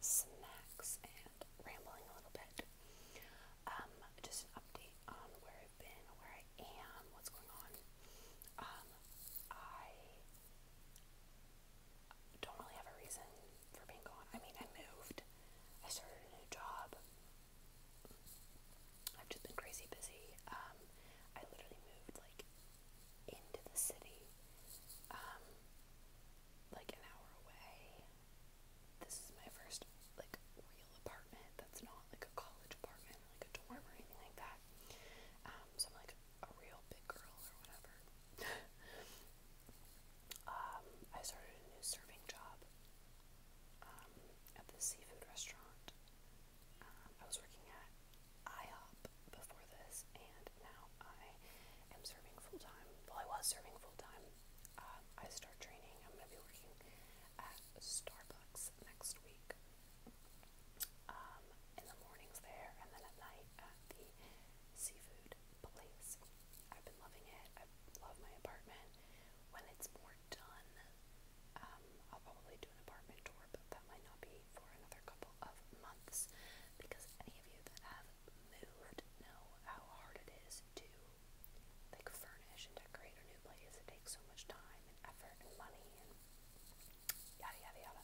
snacks and rambling a little bit. Um, just an update on where I've been, where I am, what's going on. Um, I don't really have a reason for being gone. I mean, I moved, I started a new job. I've just been crazy busy. Um, I literally moved like into the city, um, like an hour away. This is my first like real apartment that's not like a college apartment, like a dorm or anything like that. Um, so I'm like a real big girl or whatever. um, I started a new serving job um, at the seafood restaurant. Um, I was working at IHOP before this, and now I am serving full time. Well, I was serving full time um, I start training. I'm going to be working at Starbucks next week um, in the mornings there, and then at night at the seafood place. I've been loving it. I love my apartment. When it's more done, um, I'll probably do an apartment tour, but that might not be for another couple of months because any of you that have moved know how hard it is to they furnish and decorate a new place. It takes so much time and effort and money and yada yada yada.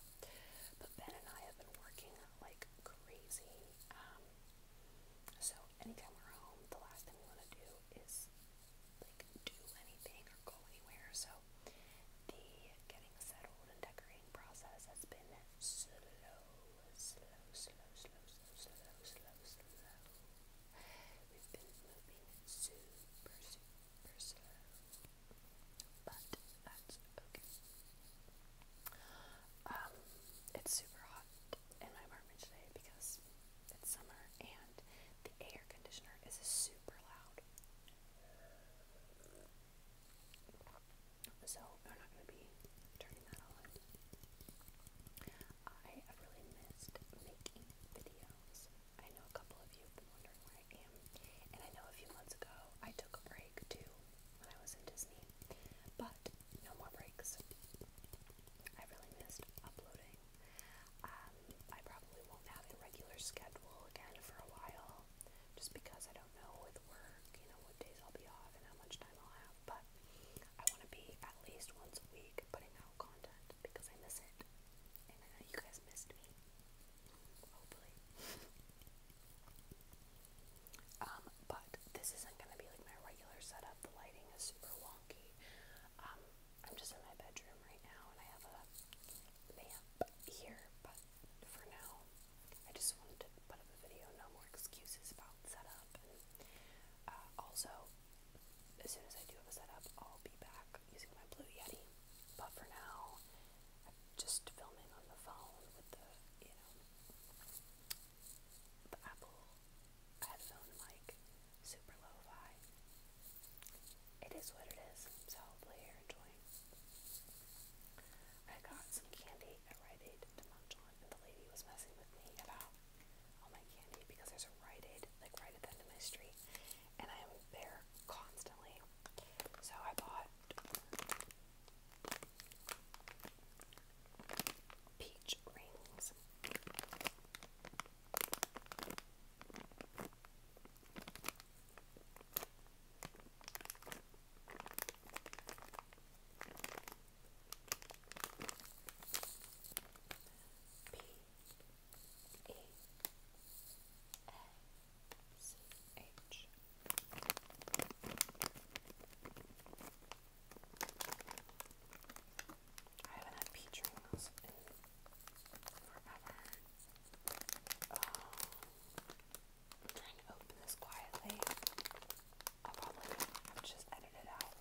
But Ben and I have been working like crazy. Um, so anytime we're home, the last thing we want to do is do anything or go anywhere. So the getting settled and decorating process has been slow it's super hot in my apartment today because it's summer and the air conditioner is super loud. So, I'm not going to be turning that on. I have really missed making videos. I know a couple of you have been wondering where I am, and I know a few months ago I took a break too when I was in Disney, but no more breaks. I really missed uploading. Um, I probably won't have a regular schedule again for a while, just because I don't know with work, you know, days I'll be off and how much time I'll have, but I want to be at least once a week putting out content because I miss it. And you guys missed me. Hopefully. um, but this isn't going to be like my regular setup. The lighting is super wonky. Um, I'm just in my bedroom right now and I have a lamp here, but for now, I just wanted to put up a video. No more excuses about setup uh, also, as soon as I do have a setup, I'll be back using my Blue Yeti. But for now, I'm just filming on the phone with the, you know, the Apple headphone mic, super lo-fi. It is what it is, so hopefully you're enjoying. I got some candy at Rite to munch on, and the lady was messing with me about all my candy because there's a Rite Aid like right at the end of my street, and I am there constantly. So I bought peach rings. P E A C H. I haven't had peach ringles in forever. Oh, trying to open this quietly. I'll probably have to just edit it out.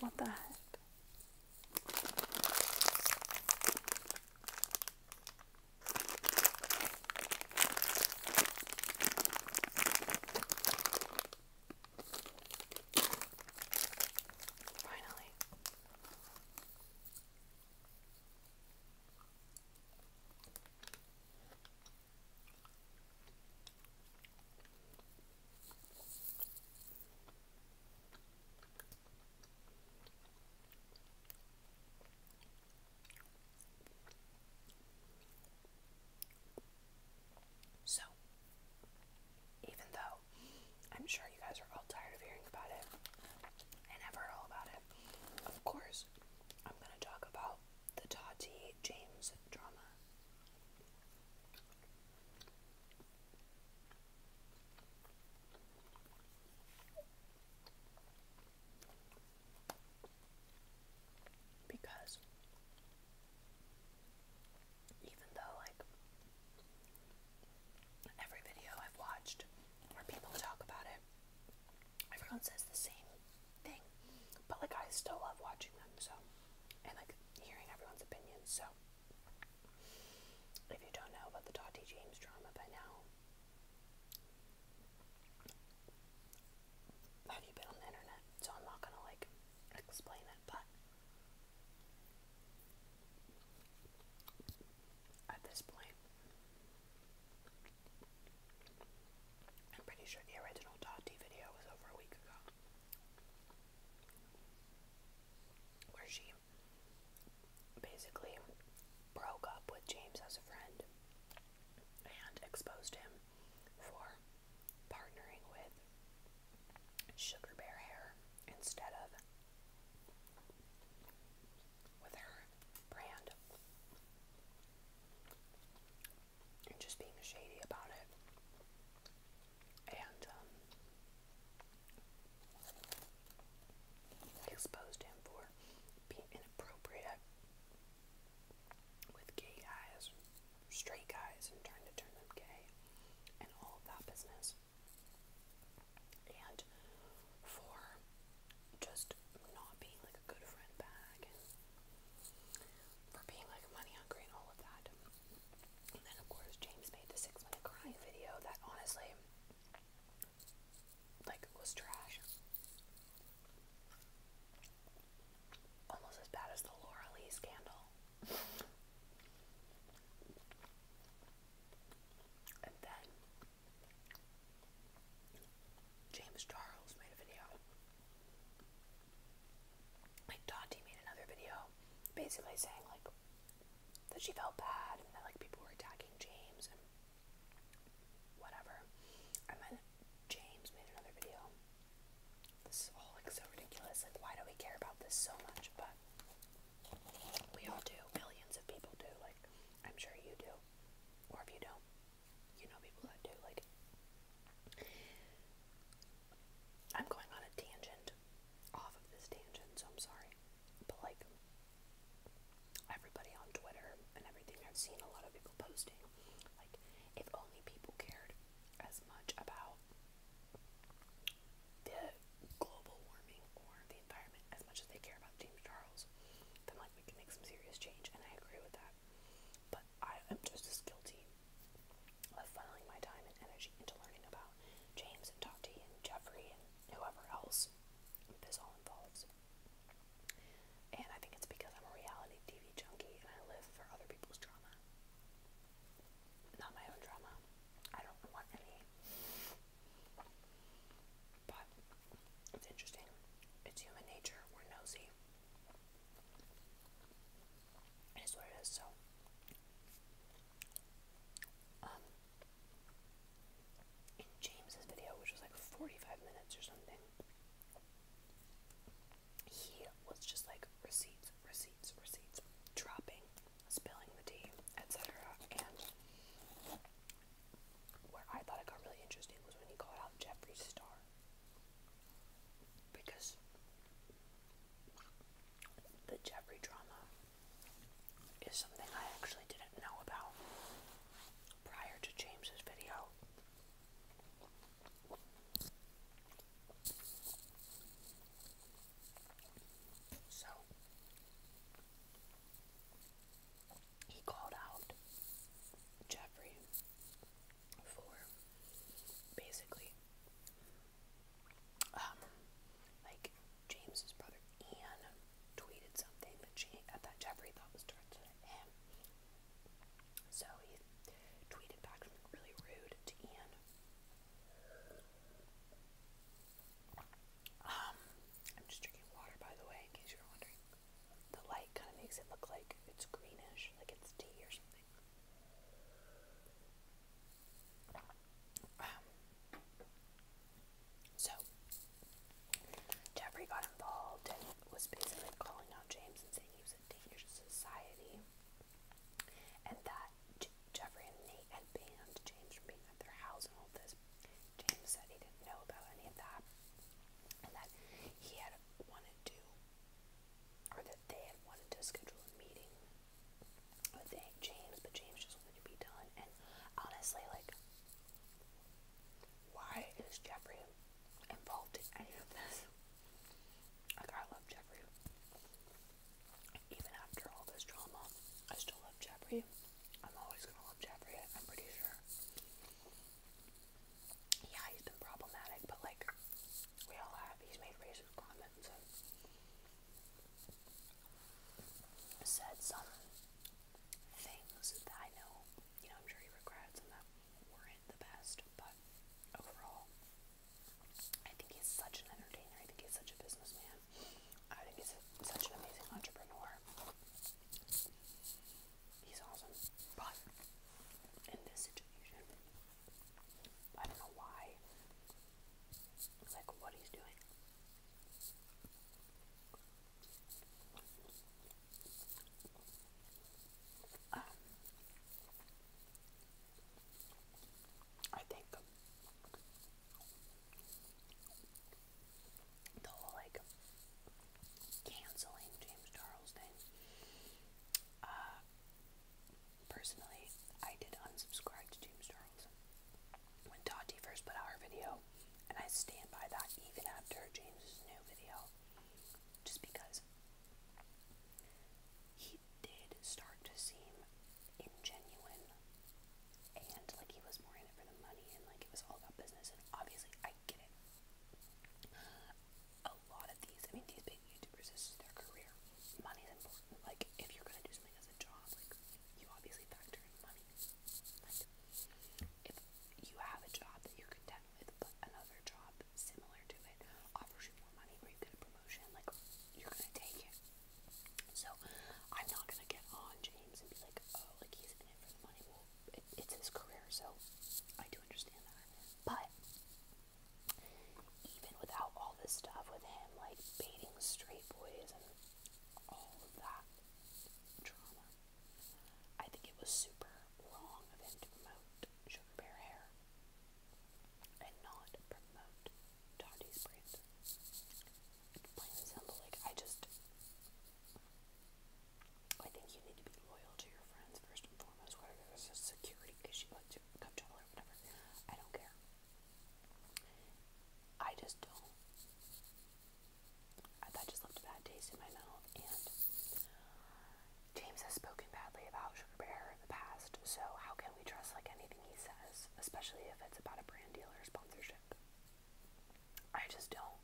What the heck? Finally. So, even though I'm sure you guys are all tired of hearing about it and have all about it, of course, I'm going to talk about the Tati James drama. Because even though, like, every video I've watched where people talk about it, everyone says the same thing. But, like, I still love watching them, so, and, like, hearing everyone's opinions, so. If you don't know about the Dottie James drama by now, have you been on the internet? So I'm not gonna like explain it, but at this point, I'm pretty sure the original Tati video was over a week ago. Where she basically broke up with James as a friend and exposed him for partnering with Sugar Bear Hair instead of with her brand and just being shady about it. And um, exposed him for being inappropriate with gay guys straight guys and trying to turn them gay and all of that business. And for just not being like a good friend back for being like money hungry and all of that. And then, of course, James made the Six Minute Cry video that honestly, like, was trash. Almost as bad as the Laura Lee scandal. And then James Charles made a video. Like Dottie made another video basically saying like that she felt bad and that like people were attacking James and whatever. And then James made another video this is all like so ridiculous. Like, why do we care about this so much? But we all do. Millions of people do. Like, I'm sure you do. Or if you don't, you know people that do. Like, I'm going on a tangent off of this tangent, so I'm sorry. But, like, everybody on Twitter and everything, I've seen a lot of people posting. Like, if only people cared as much about the global warming or the environment as much as they care about James Charles, then like we can make some serious change, and I agree with that. But I am just as guilty of funneling my time and energy into learning about James and Tati and Jeffrey and whoever else this all involves. And I think it's because I'm a reality TV junkie and I live for other people's drama not my own drama. I don't want any. But it's interesting. It's human nature. We're nosy. It is what it is, so. Um, in James's video, which was like 45 minutes or something, he was just like receipts, receipts receipts, dropping, spilling the tea, etc. And where I thought it got really interesting was when he called out Jeffrey Star. Because the Jeffrey drama is something I actually didn't know about prior to James's video. So he called out Jeffrey for basically um like James's brother Ian tweeted something that she that Jeffrey thought was directed at him. So he tweeted back something really rude to Ian. Um, I'm just drinking water, by the way, in case you're wondering. The light kind of makes it look like it's greenish, like it's tea or something. Um, so, Jeffrey got involved and was basically calling out James and saying he was a danger to society. And that J Jeffrey and Nate had banned James from being at their house and all this. James said he didn't know about any of that. And that he had wanted to, or that they had wanted to schedule a meeting with James, but James just wanted to be done. And honestly, like, why is Jeffrey involved in any of this? Like, I love Jeffrey. Even after all this drama, I still love Jeffrey. I'm always gonna love Jeffrey. I'm pretty sure. Yeah, he's been problematic, but like, we all have. He's made racist comments and said some things that I know, you know, I'm sure he regrets and that weren't the best, but overall, I think he's such an entertainer. I think he's such a businessman. I think he's such an amazing entrepreneur. He's awesome. But in this situation, I don't know why. Like what he's doing. Um, I think the whole like canceling James Charles thing. Uh, personally, I did unsubscribe to James Charles when Tati first put out her video, and I stand by that even after James's new video, just because he he did start to seem ingenuine and like he was more in it for the money and like it was all about business and obviously I get it. A lot of these, I mean these big YouTubers, this is their career. Money's important. Like if you're gonna do something as a job, like you obviously factor in money. Like if you have a job that you're content with but another job similar to it offers you more money or you get a promotion, like you're gonna take it. So I'm not gonna get on James and be like, oh, like he's in it for the money. Well, it, it's his career, so I do understand that. But even without all this stuff with him, like baiting straight boys and all of that drama, I think it was super wrong of him to promote Sugar Bear Hair and not promote Darty's brand. plain and simple. Like I just, I think you need to be loyal to your friends first and foremost. Whether there's a security issue, like to cup trouble or whatever, I don't care. I just don't. That just left a taste in my mouth, and James has spoken badly about Sugar Bear in the past. So how can we trust like anything he says, especially if it's about a brand deal or sponsorship? I just don't.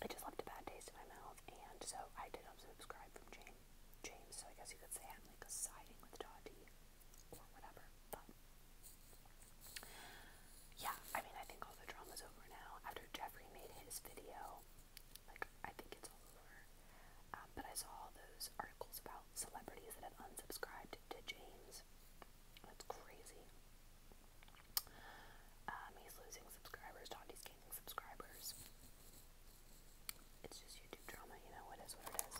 I just left a bad taste in my mouth, and so I did unsubscribe from James. James, so I guess you could say I'm like siding with Dottie or whatever. But yeah, I mean, I think all the drama's over now. After Jeffrey made his video, like I think it's over. Um, but I saw all those articles about celebrities that have unsubscribed to James. That's crazy. Um, he's losing subscribers, Dottie's gaining subscribers. It's just YouTube drama, you know, it is what it is.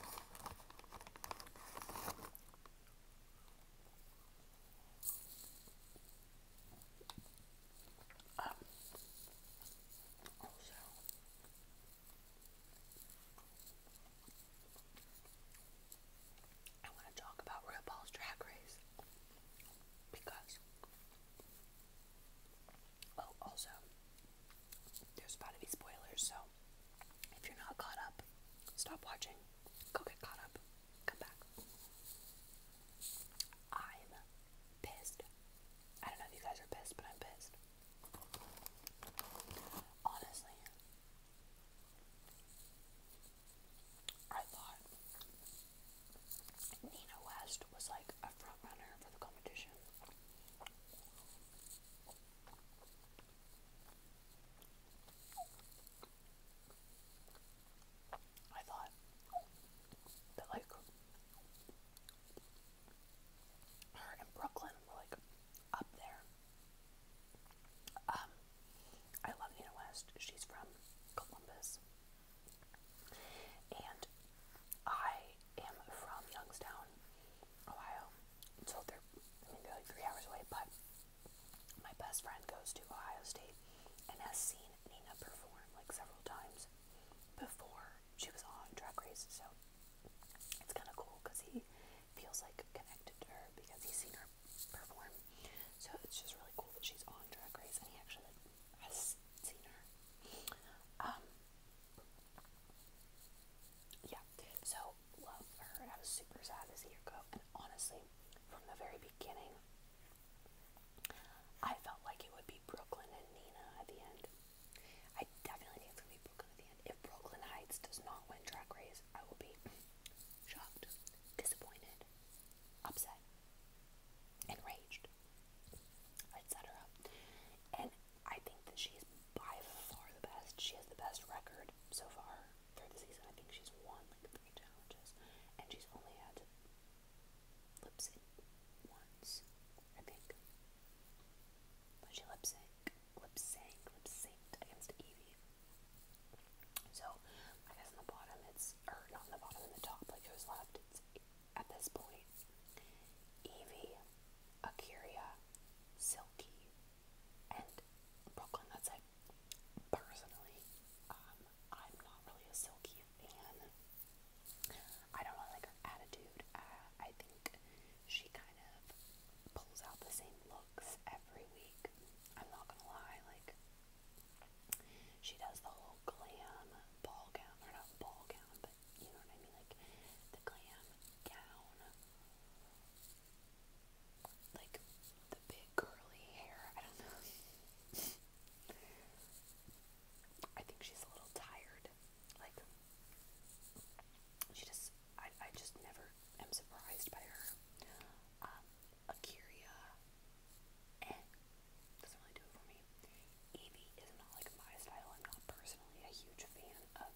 Um, also, I want to talk about RuPaul's Drag Race because, oh, also, there's about to be spoilers, so if you're not caught up, stop watching, go get caught up, come back. I'm pissed. I don't know if you guys are pissed, but I'm pissed. Honestly, I thought Nina West was like a front runner for the competition. I thought that like her and Brooklyn like up there. Um, I love Nina West. She's from Columbus. And I am from Youngstown, Ohio. So they're I they're like three hours away, but my best friend goes to Ohio State and has seen Nina perform like several times before she was on Drag Race, so it's kind of cool because he feels like connected to her because he's seen her perform. So it's just really cool that she's on Drag Race and he actually has seen her. Um, yeah, so love her. I was super sad to see her go, and honestly, from the very beginning, I felt like it would be Brooklyn and Nina at the end. I definitely think it's going Brooklyn at the end. If Brooklyn Heights does not win Drag Race, I will be shocked, disappointed, upset, enraged, etc. And I think that she's by far the best. She has the best record so far through the season. I think she's won like three challenges, and she's only had to lip sync once I think. But she lip sync, lip sync, lip synced against Evie. So I guess on the bottom it's, or not on the bottom, in the top, like who's left? It's at this point Evie, Akiria, Silky, and Brooklyn. That's it. Personally, um, I'm not really a Silky fan. I don't really like her attitude. Uh, I think she kind of pulls out the same looks every week. I'm not gonna lie, like she does the whole glam ball gown, or not ball gown, but you know what I mean, like the glam gown, like the big curly hair. I don't know. I think she's a little tired. Like she just, I, I just never am surprised by her. Um, Akira, doesn't really do it for me. Evie is not like my style. I'm not personally a huge fan of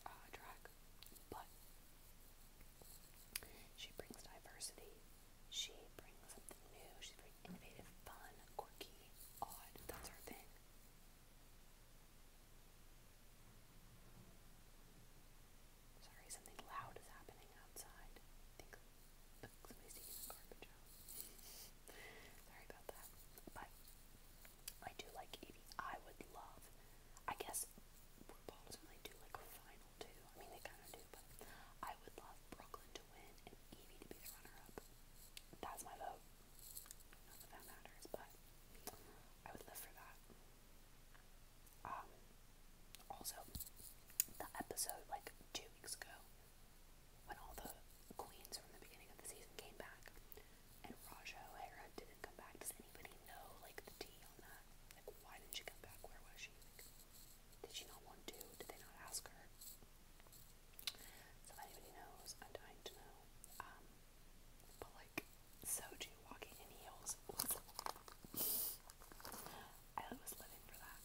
her track, uh, but she brings diversity. She brings something new. She's very innovative, fun, quirky, odd. That's her thing. Sorry, something loud is happening outside. I think look, somebody's taking the garbage out. Sorry about that. But I do like Evie. I would love, I guess RuPaul doesn't really do like a final two. I mean, they kind of do, but I would love Brooklyn to win and Evie to be the runner up. That's my vote that matters, but I would live for that. Um, also, the episode like two weeks ago, when all the queens from the beginning of the season came back, and Raja O'Hara didn't come back. Does anybody know like the tea on that? Like, why didn't she come back? Where was she? did she not want to? Did they not ask her? So anybody knows, I'm dying to know. Um, but like Soju walking in heels I was living for that.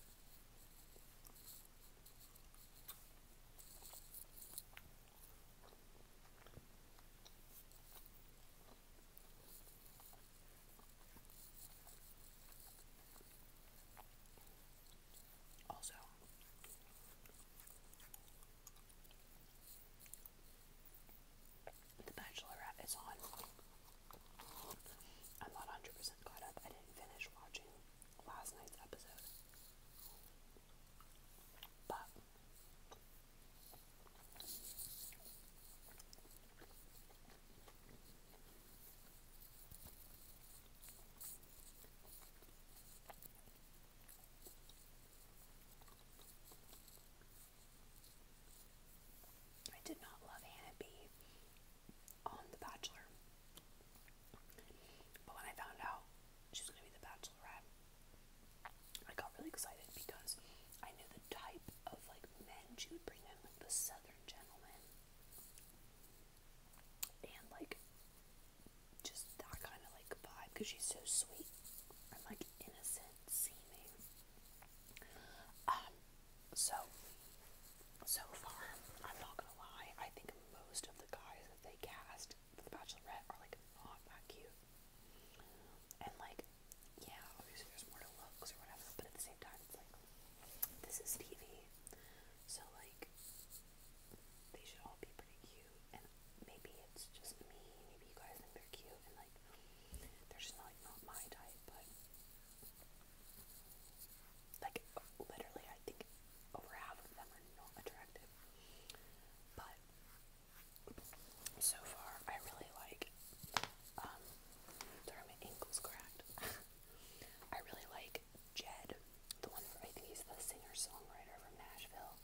Also, the Bachelorette is on. I'm not 100% caught up. I didn't finish watching last night's episode. But I did not love Hannah B on The Bachelor. But when I found out she was going to be The Bachelorette, I got really excited because I knew the type of like men she would bring in, like the Southern gentleman, and like just that kind of like vibe because she's so sweet and like innocent seeming. Um, so so far, I'm not gonna lie, I think most of the guys that they cast for The Bachelorette are like not that cute. And like, yeah, obviously there's more to looks or whatever, but at the same time, it's like this is TV, so like they should all be pretty cute and maybe it's just me. Maybe you guys think they're cute, and like they're just not, not my type. But like literally, I think over half of them are not attractive. But so far, I really like. Um, sorry, my ankle's cracked. I really like Jed, the one I think he's the singer songwriter from Nashville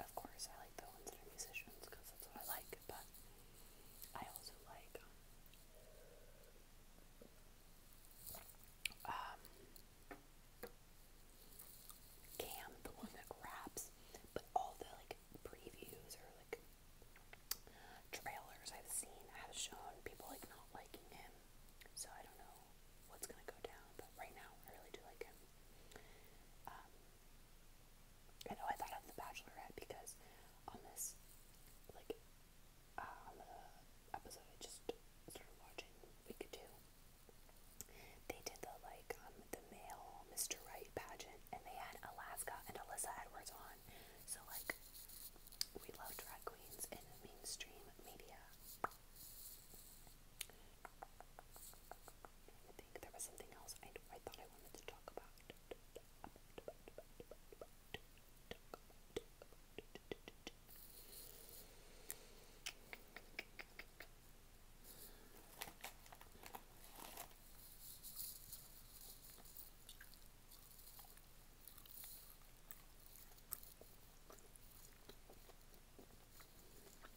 of course, I like the ones that are musicians because that's what I like, but I also like um, um, Cam, the one that raps, but all the like previews or like trailers I've seen have shown people like not liking him, so I don't know what's gonna go down, but right now I really do like him. Um, I know I thought of The Bachelorette because on this, like, uh, on the episode I just started watching, week two, they did the like um, the male Mr. Right pageant, and they had Alaska and Alyssa Edwards on. So like, we love drag queens in mainstream media. I think there was something else I, thought I wanted to talk about. Um, oh,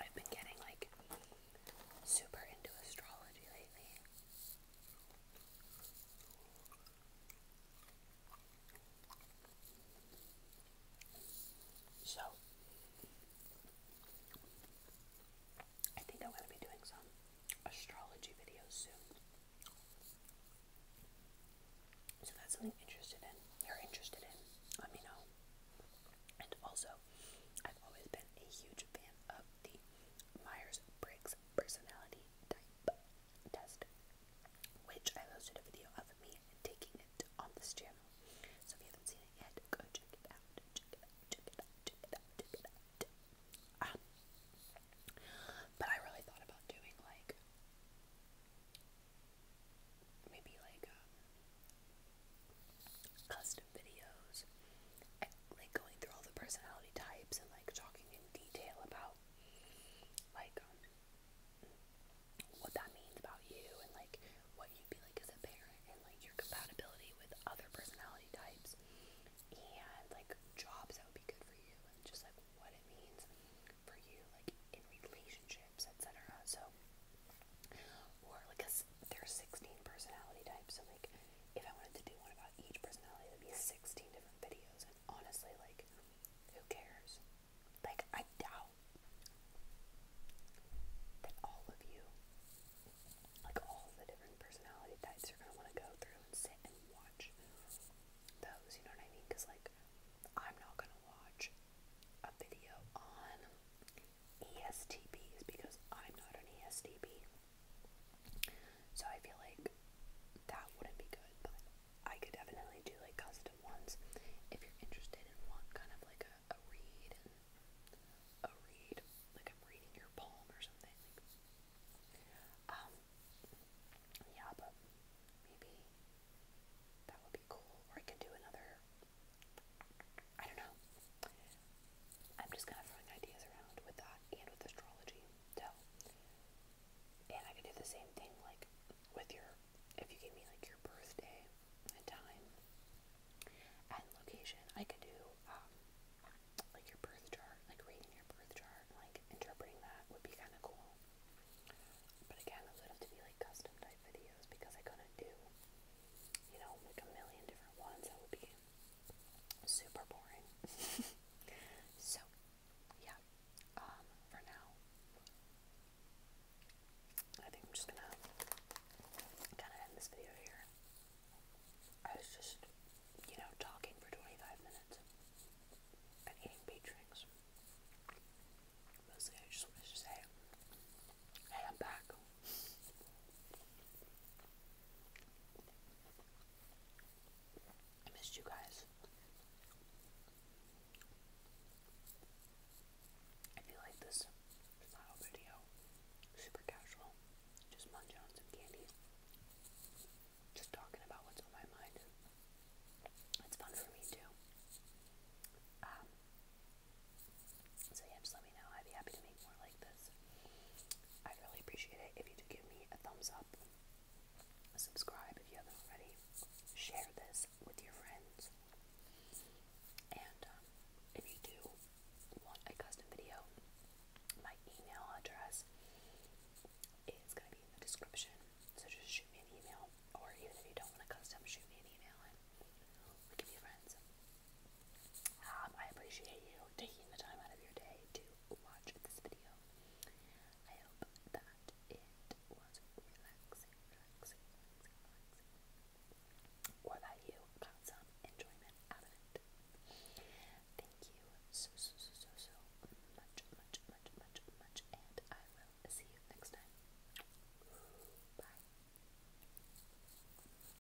I've been getting like super into astrology lately. So, I think I'm going to be doing some astrology videos soon. So, that's something interested in, you're interested in, let me know. And also, I've always been a huge fan of the Myers Briggs personality type test, which I posted a video of me taking it on this channel. So if you haven't seen it yet, go check it out. Check it check it check it check it ah. but I really thought about doing like maybe like um, custom videos, like going through all the personality types and like talking in detail about like um, what that means about you and like what you'd be like as a parent and like your compatibility with other personality types and like jobs that would be good for you and just like what it means for you like in relationships etc. So or because there are 16 personality types, so like if I wanted to do one about each personality, it'd be 16 different videos. And honestly, like who cares? Like I doubt that all of you, like all the different personality types, are gonna want to go through and sit and watch those. You know what I mean? Because like I'm not gonna watch a video on ESTPs because I'm not an ESTP. So I feel like that wouldn't be good, but I could definitely do like custom ones if you're interested in one kind of like a, a read and a read like I'm reading your poem or something. Um yeah, but maybe that would be cool. Or I could do another I don't know. I'm just kind of throwing ideas around with that and with astrology. So, and I could do the same thing, like with your, if you gave me like your birthday and time and location, I could do um, like your birth chart, like reading your birth chart like interpreting that would be kind of cool. But again, those would have to be like custom type videos because I couldn't do, you know, like a million different ones. That would be super boring. so, yeah. Um, for now, I think I'm just gonna kind of end this video here. I was just, you know, talking for 25 minutes and eating peach rings. Mostly, I just wanted to say, hey, I'm back. I missed you guys. If you like this style video, super casual, just munch on some candy, just talking about what's on my mind. It's fun for me too. Um, so yeah, just let me know. I'd be happy to make more like this. I'd really appreciate it if you do give me a thumbs up, subscribe if you haven't already, share this with your friends, and um, if you do want a custom video, my email address is going to be in the description. So just shoot me an email, or even if you don't want a custom, shoot me an email and we can be friends. Um, I appreciate you taking the time out of your day to watch this video. I hope that it was relaxing, or that you got some enjoyment out of it. Thank you so, so, so, so, so much, much, much, much, much, and I will see you next time. Bye.